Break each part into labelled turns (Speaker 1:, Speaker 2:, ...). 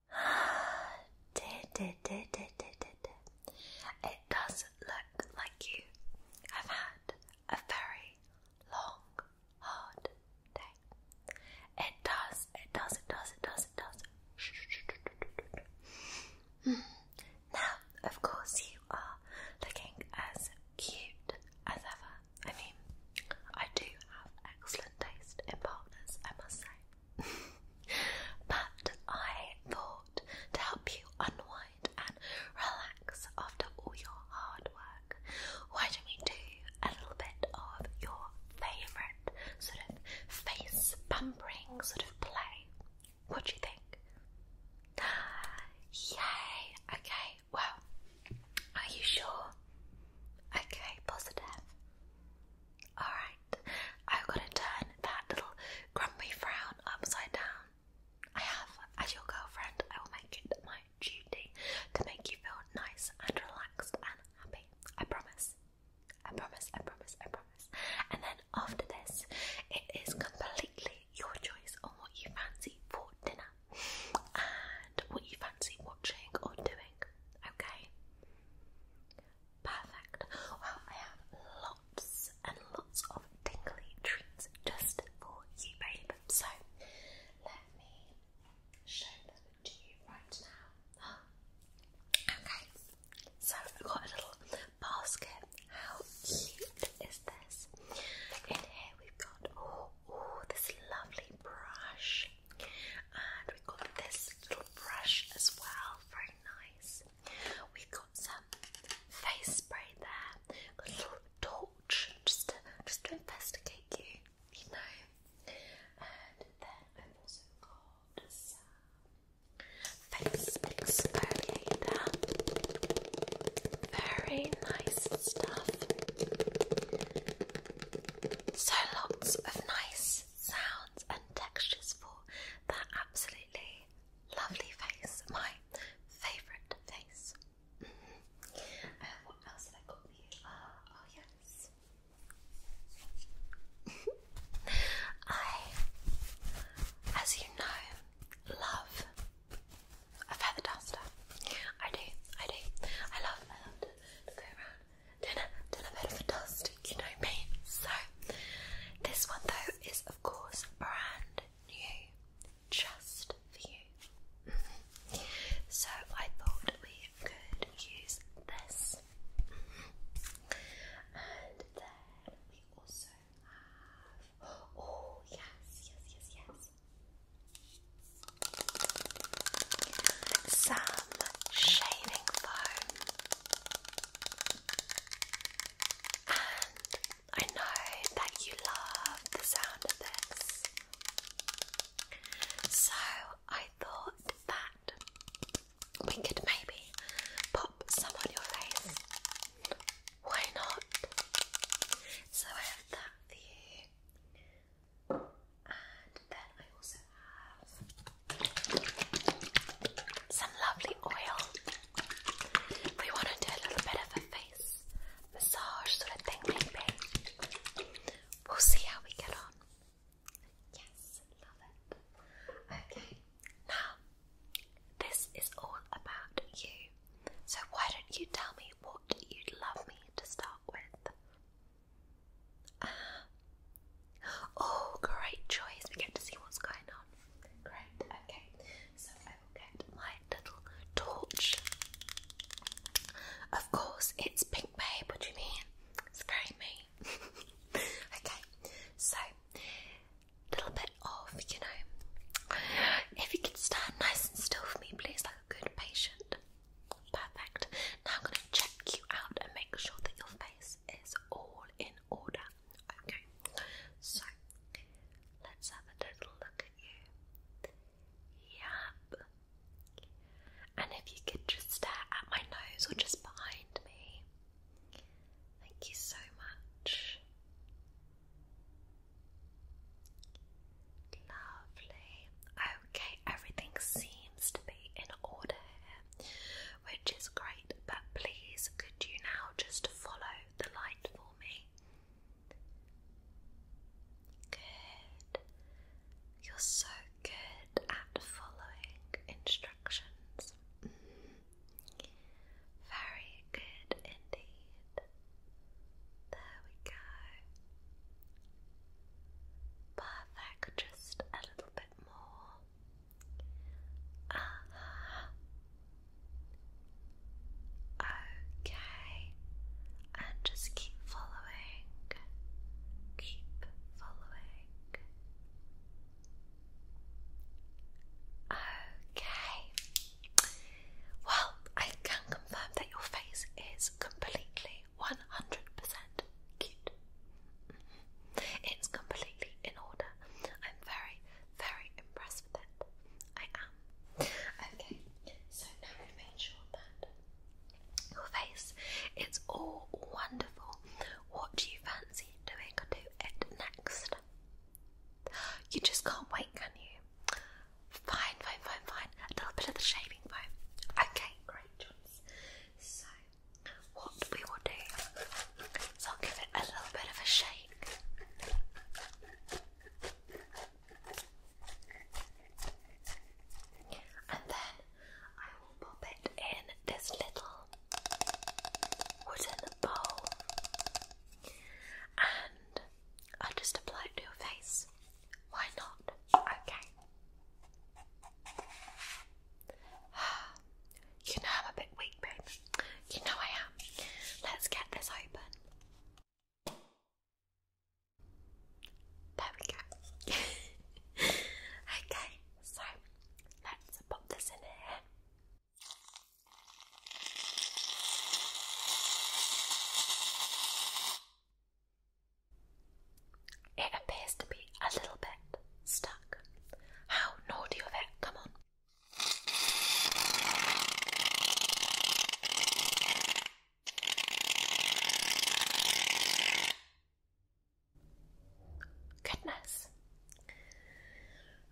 Speaker 1: It does look like you have had a very long, hard day. It does, it does, it does, it does, it does. Hmm. Now, of course, you are looking as cute as ever. I mean, I do have excellent taste in partners, I must say. but I thought to help you unwind and relax after all your hard work, why don't we do a little bit of your favourite sort of face pampering sort of play? What do you think? Yay! Okay, well, are you sure? Okay, positive. Alright. I've got to turn that little grumpy frown upside down. I have, as your girlfriend, I will make it my duty to make you feel nice and relaxed and happy. I promise. I promise, I promise, I promise. And then after this, it is completely your choice on what you fancy for dinner and what you fancy watching or doing. Okay? Perfect. Well, I have lots and lots of tingly treats just for you, babe. So let me show them to you right now. Okay. So I've got a little basket. How cute is this? In here we've got oh, oh this lovely brush. And we got this little brush as well, very nice. we got some face spray there, little torch just to, just to investigate you, you know. And then face exfoliator. Very nice stuff. So lots of nice sounds and textures for that absolutely lovely face, my favourite face. Mm-hmm. Uh, what else ah, Oh, yes. I, as you know, love a feather duster. I do, I do. I love, dinner, dinner bed for dust, you know me. So, this one though is of course brand new, just for you. so, I thought we could use this. And then we also have, oh yes, yes, yes, yes. Some shaving foam. And I know that you love the sound of this. So I thought that we could maybe pop some on your face. Why not? So I have that for you. And then I also have some lovely oil. We want to do a little bit of a face massage sort of thing, maybe. We'll see how we get on. Yes, love it. Okay, now this is all about you. So, why don't you tell me what you'd love me to start with? Uh, oh, great choice. We get to see what's going on. Great, okay. So I get my little torch. Of course, it's pink, babe. What do you mean? It's very okay, so little bit of, you know, if you can stand nice and still for me, please, like a good patient. Perfect. Now I'm going to check you out and make sure that your face is all in order. Okay, so let's have a little look at you. Yep. And if you could just stare at my nose or just behind me. Thank you so much. Lovely. Okay, everything seems to be in order here, which is great, but please could you now just follow the light for me? Good. You're so good at following instructions. Mm-hmm. Very good indeed. There we go. Perfect, just a little bit more. Uh-huh. Okay, and just keep following, keep following. Okay, well, I can confirm that your face is completely 100% cute. Mm-hmm. It's completely in order. I'm very, very impressed with it. I am. Okay, so now we've made sure that your face it's all wonderful. What do you fancy doing to it next? You just can't wait, can you? Fine, fine, fine, fine. A little bit of the shaving foam. Okay, great. So, what we will do is I'll give it a little bit of a shake. And then I will pop it in this little wooden bowl and I'll just apply it to your face. Why not? Okay. You know I'm a bit weak, babe. You know I am. Let's get this open. There we go. okay, so let's pop this in here. It appears to be a little bit stuck. How naughty of it, come on. Goodness.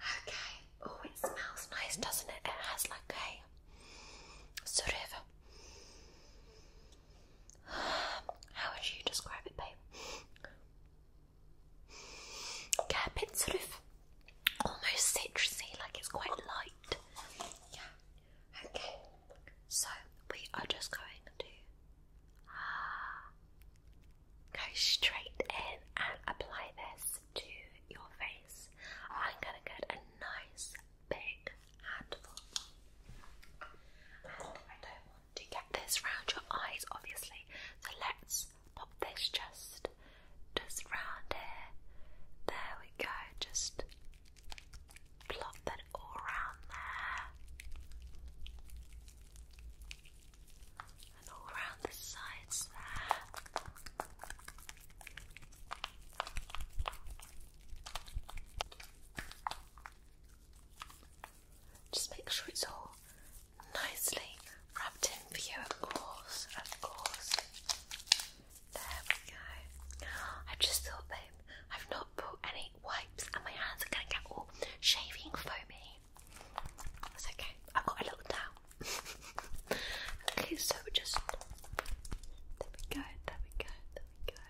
Speaker 1: Okay. Oh, it smells nice, doesn't it? It has like a sort how would you describe it, babe? Yeah, a sort of almost citrusy, like it's quite light. Yeah. Okay. So we are just going to ah, go straight in and apply this to your face. I'm gonna get a nice big handful. And I don't want to get this round your eyes, obviously, so let's pop this just, just round here. There we go, just plop that all round there. And all round the sides there. Just make sure it's all nicely wrapped in for you, of course, of course. There we go. I just thought, babe, I've not put any wipes and my hands are going to get all shaving foamy. That's okay, I've got a little towel. okay, so just. There we go, there we go, there we go.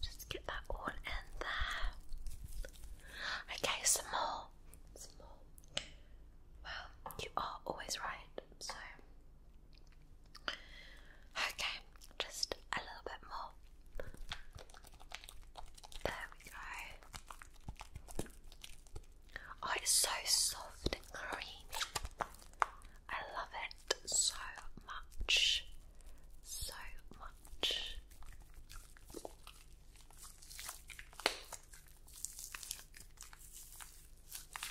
Speaker 1: Just get that all in there. Okay, some more. Some more. Well, you are always right, so. Okay, just a little bit more. There we go. Oh, it's so soft and creamy. I love it so much. So much.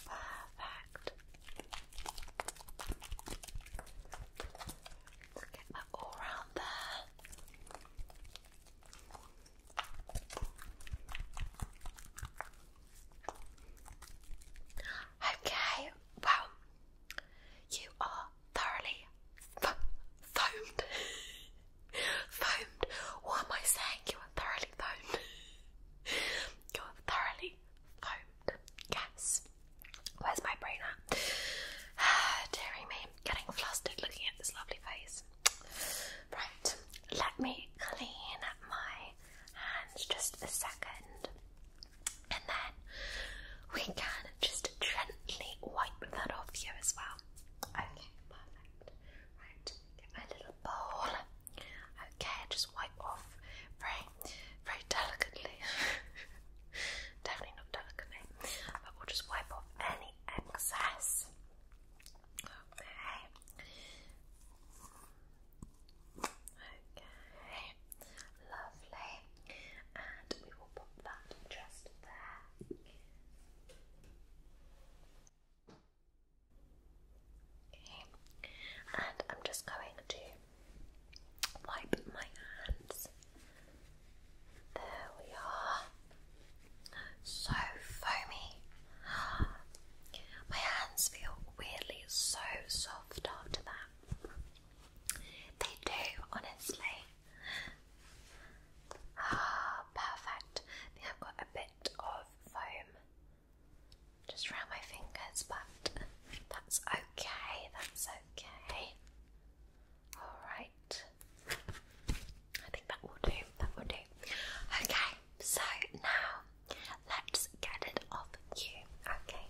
Speaker 1: Perfect. Get that all round there. Okay, well, you are thoroughly foamed. foamed. What am I saying? You are thoroughly foamed. you are thoroughly foamed. Yes. Where's my brain at? Dearie me, getting flustered looking at this lovely face. Right, let me clean my hands just a second and then we can just gently wipe that off you as well. Okay, perfect. Right, get my little bowl. Okay, just wipe off very, very delicately. Definitely not delicately, but we'll just wipe off any excess. Okay. Okay, lovely. And we will pop that just there. Okay, and I'm just going to wipe my hands. There we are. So foamy. My hands feel weirdly so soft after that. They do, honestly. Ah, perfect. I think I've got a bit of foam just around my fingers, but that's okay, that's okay. Alright. I think that will do, that will do. Okay, so now let's get it off you. Okay,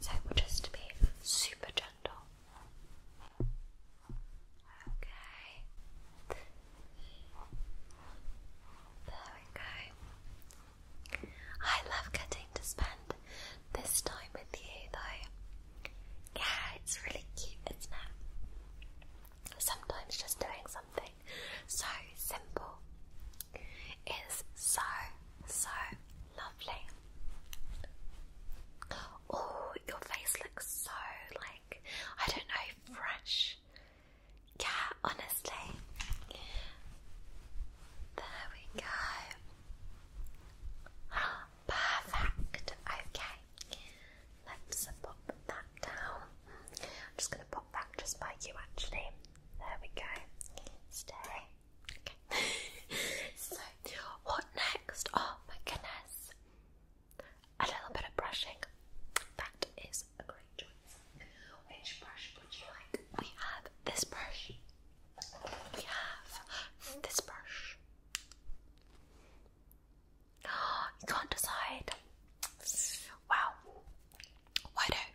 Speaker 1: so we'll be super gentle. Okay, there we go. I love getting to spend this time with you, though. Yeah, it's really cute, isn't it? Sometimes just doing something so simple is so, so Lovely. Oh, your face looks so like I don't know, fresh. Yeah, honestly. There we go. Perfect. Okay. Let's pop that down. I'm just gonna pop that just by you actually. There we go. Stay. so, what next? Oh my goodness. A little bit of brushing. That is a great choice. Which brush would you like? We have this brush. We have this brush. you can't decide. Wow. Why don't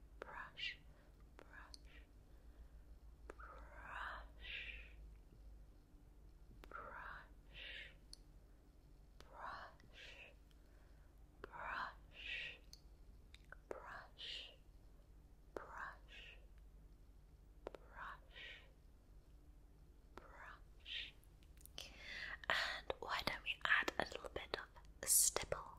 Speaker 1: brush, brush, brush, brush, brush, brush, brush, brush, brush. Brush. And why don't we add a little bit of stipple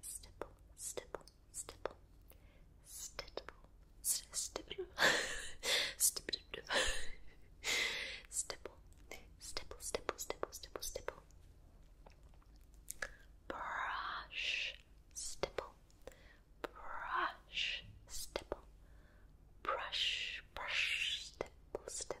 Speaker 1: stipple, stipple, stipple, stipple, stipple, stipple, stipple, stipple, stipple, stipple, stipple, brush, stipple, brush, stipple, brush, brush, stipple, stipple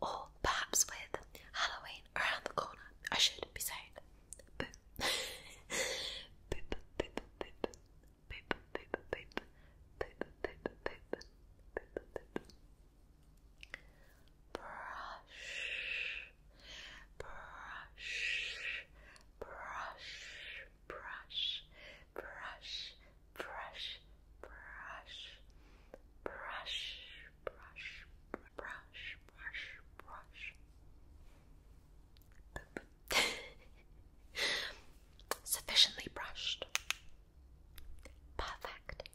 Speaker 1: or perhaps with Halloween around the corner, I should be saying brush, brush, brush, brush, brush, brush, brush, brush, brush, brush, brush. Sufficiently brushed. Perfect.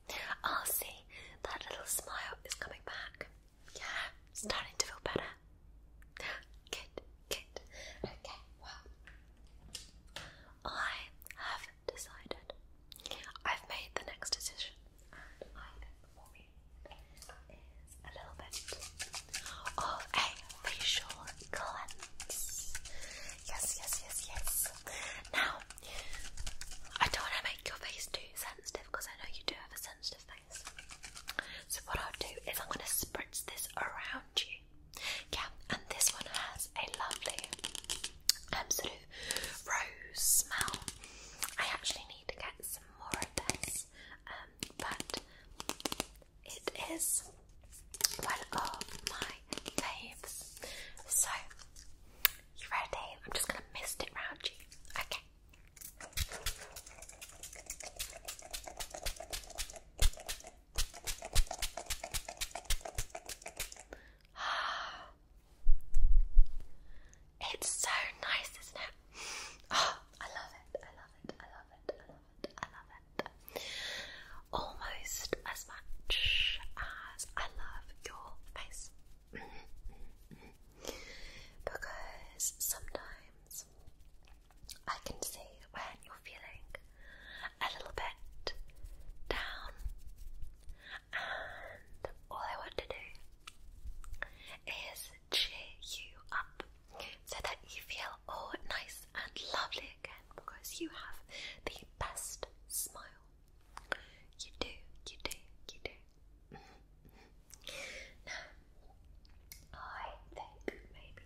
Speaker 1: i see that little smile is coming back. Yeah, starting to feel better. Good, good. Okay, well, I have decided. I've made the next decision, and I think for me is a little bit of a facial cleanse. Yes, yes, yes, yes. Now, I don't want to make your face too sensitive because I know you do have a so what I'll do is I'm going to spritz this around you. Yeah, and this one has a lovely um, sort of rose smell. I actually need to get some more of this, um, but it is one of my faves. So, you ready? I'm just going to mist it round you. Okay. It's so nice, isn't it? Oh, I love it. I love it. I love it. I love it. I love it. Almost as much as I love your face because sometimes I can see when you're feeling a little bit down, and all I want to do is cheer you up so that you feel all nice and lovely again because you have the best smile you do, you do, you do. I think maybe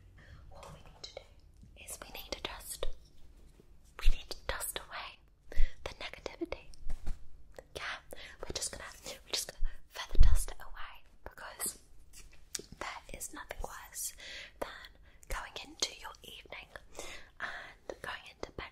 Speaker 1: what we need to do is we need to dust, we need to dust away the negativity. Yeah, we're just gonna, we're just gonna further dust it away because there is nothing worse than going into your evening and going into bed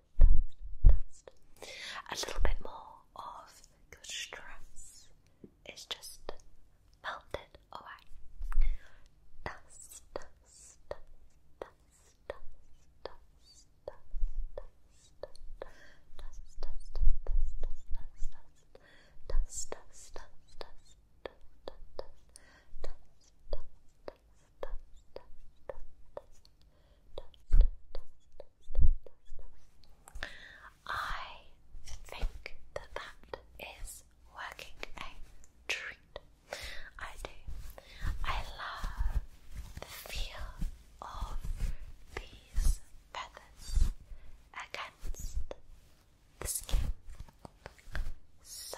Speaker 1: A little bit more of your stress is just melted away. I think that that is working a treat. I do. I love the feel of these feathers against the skin. So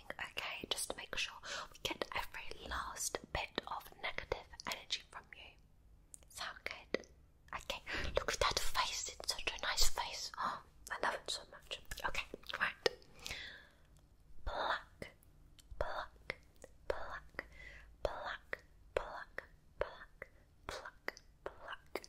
Speaker 1: okay. Just to make sure we get every last bit of negative energy from you. Sound good? Okay, look at that face. It's such a nice face. Oh, I love it so much. Okay, right. Pluck, pluck, pluck, pluck, pluck, pluck, pluck, pluck,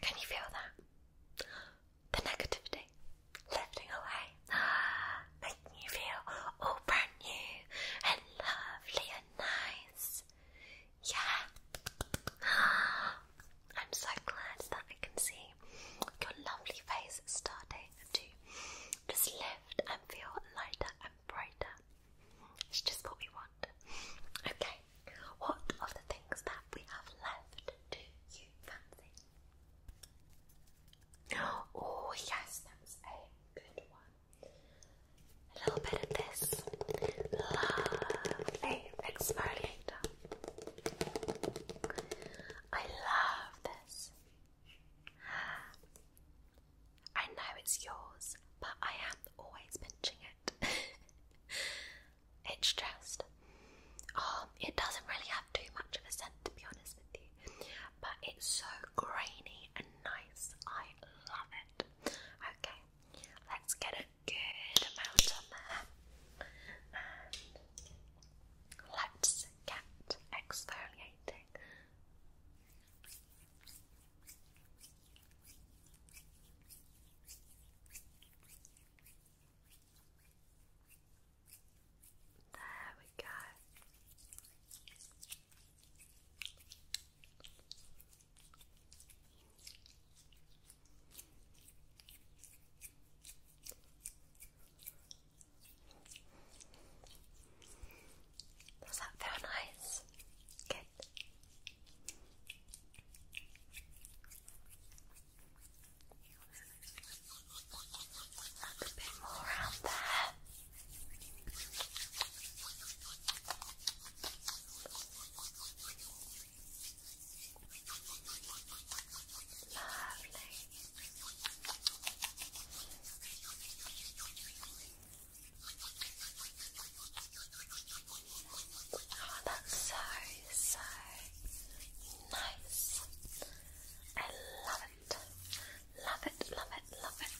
Speaker 1: can you feel that? The negativity lifting away, making you feel all brand new and lovely and nice. Yeah. I'm so glad that I can see your lovely face starting to just lift and feel lighter and brighter. It's just what we want. Okay, what of the things that we have left do you fancy? Oh, yes, that's a good one. A little bit of this lovely exfoliator. I love this. I know it's yours, but I am always pinching it. It's just, um, it doesn't really have too much of a scent to be honest with you, but it's so grainy and nice. I love it. Okay, let's get a good amount on there, and let's get exfoliating. There we go. Does that feel nice? Good. A bit more around there. Lovely. Oh, that's so, so nice. I love it. Love it, love it, love it.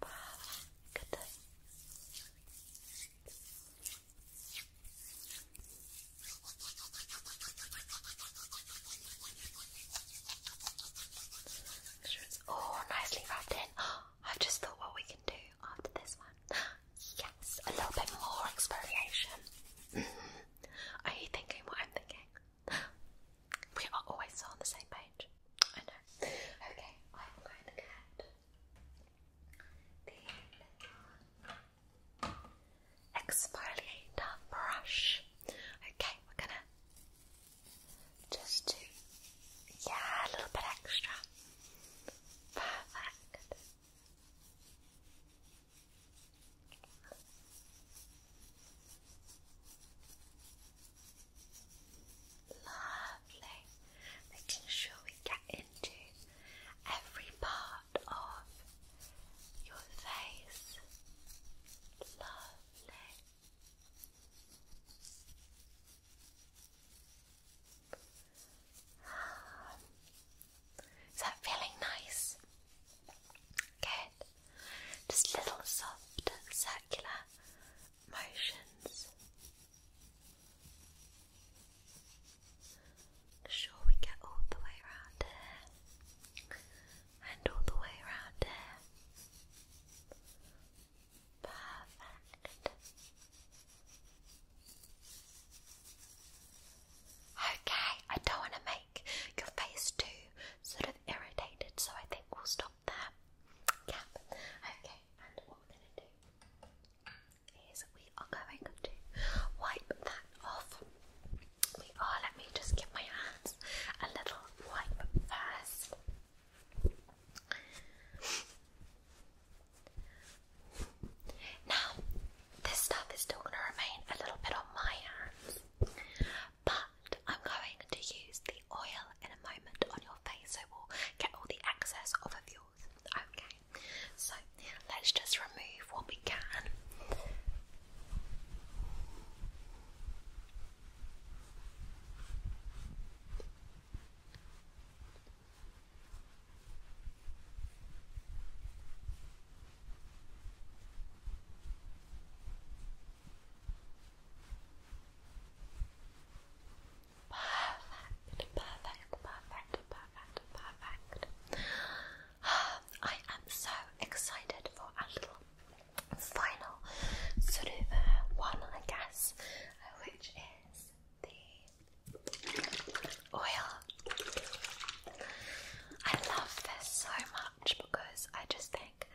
Speaker 1: Perfect. Sure, it's all nicely wrapped in. I've just thought what we can do after this one. Yes, a little bit more exfoliation. Are you thinking what I'm thinking? We are always on the same page. I know. Okay, I'm going to get the exfoliator brush. Okay, we're gonna just to, yeah, a little bit extra. Perfect. Lovely. Making sure we get into every part of your face. Lovely. Is that feeling nice? Good. Just little soft circular motions. sure we get all the way around here and all the way around here. Perfect. Okay, I don't want to make your face too sort of irritated, so I think we'll stop there. Okay, and what we're going to do is we are going to wipe that off. We are, let me just give my hands a little wipe first. Now, this stuff is still going to remain a little bit on my hands, but I'm going to use the oil in a moment on your face so we'll get all the excess off of yours. Okay, so let's just remove what we can. Perfect, perfect, perfect, perfect, perfect. I am so excited for a little final sort of uh, one, I guess, uh, which is the oil. I love this so much because I just think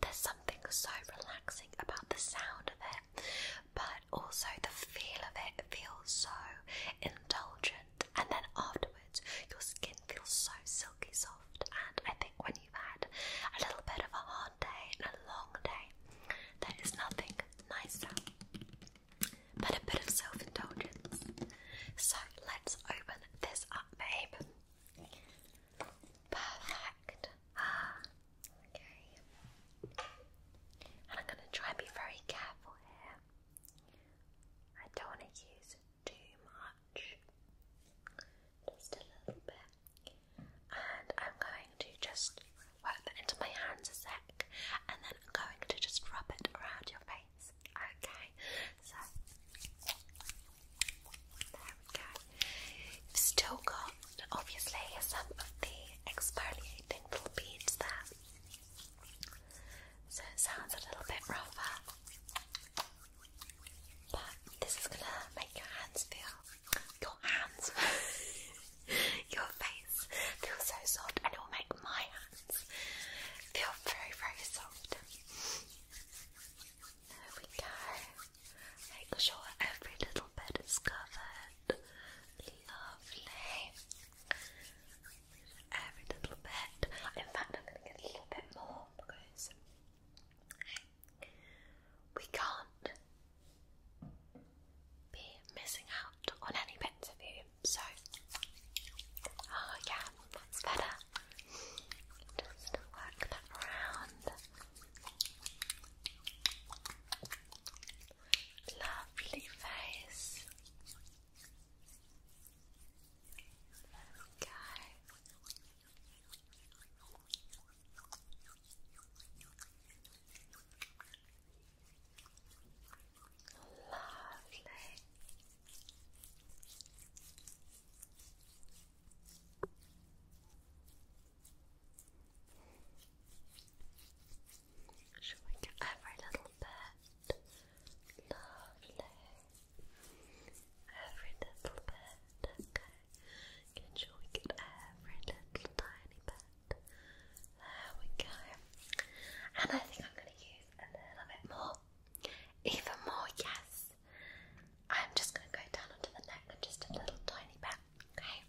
Speaker 1: there's something so relaxing about the sound of it, but also the feel of it feels so indulgent, and then afterwards, your skin feels so silky soft. And I think when you've had a little bit of a hot and a long day. There is nothing nicer but a bit of self indulgence. So let's open this up, babe. Perfect. okay. And I'm going to try and be very careful here. I don't want to use too much. Just a little bit and I'm going to just work that into my hands a sec and then I'm going to just rub it around your face. Okay, so there we go. still got obviously some of the exfoliating little beads there. So sounds a little bit rougher. But this is gonna make your hands feel your hands, your face feel so soft, and it will make my hands feel very, very soft. There we go. Make sure every little bit is covered. Lovely. Every little bit. In fact, I'm gonna get a little bit more because we can't be missing out on any bits of you, so oh yeah, that's better. Just work that around. Lovely face. There Lovely. Showing every little bit. Lovely. Every little bit. Okay. Can sure we get every little tiny bit. There we go. And I think I'm going to use a little bit more. Even more, yes. I'm just going to go down onto the neck and just a little tiny bit. Okay.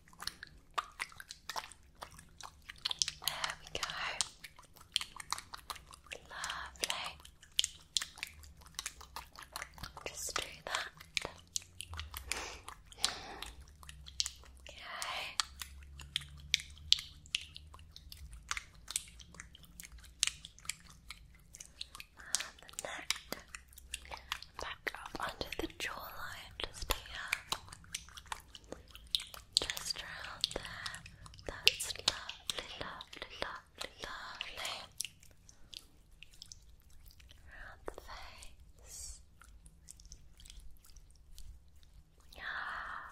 Speaker 1: There we go. Lovely. Just do that. Okay. And the neck. Back up under the jawline, just here. Just around there. That's lovely, lovely, lovely, lovely the face. Ah.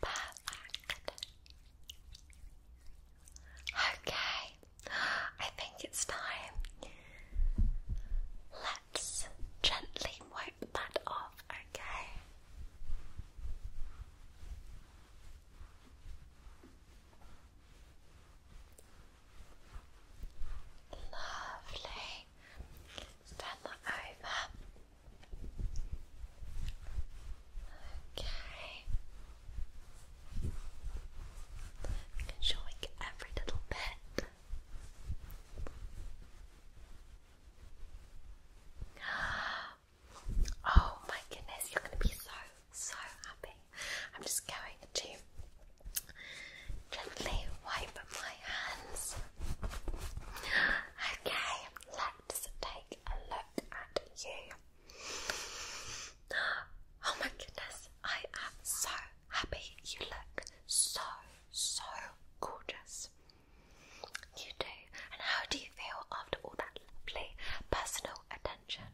Speaker 1: Perfect. Okay, I think it's time. Let's gently wipe that off, okay? Lovely. Turn that over. Okay. Making every little bit. Ah, Oh my goodness, you're gonna be so so happy. I'm just going to gently wipe my hands. Okay, let's take a look at you. Oh my goodness, I am so happy. You look so so gorgeous. You do. And how do you feel after all that lovely personal attention?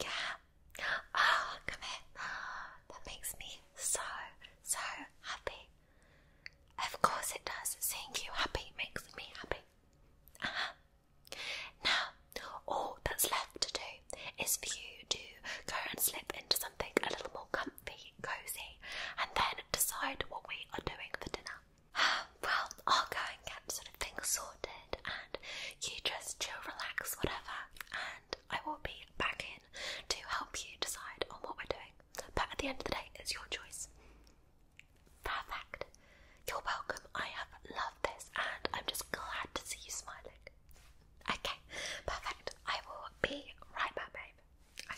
Speaker 1: Yeah. Ah, oh, come here. That makes me so, so happy. Of course it does. Seeing you happy makes me happy. Uh Now, all that's left to do is for you to go and slip into something a little more comfy, cozy, and then decide what we are doing for dinner. well, I'll go and get sort of things sorted, and you just chill, relax, whatever, and I will be back in to help you decide on what we're doing. But at the end of the day, it's your choice. Perfect. You're welcome. I have loved this, and I'm just glad to see you smiling. Okay, perfect. I will be right back, babe.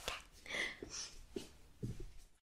Speaker 1: Okay.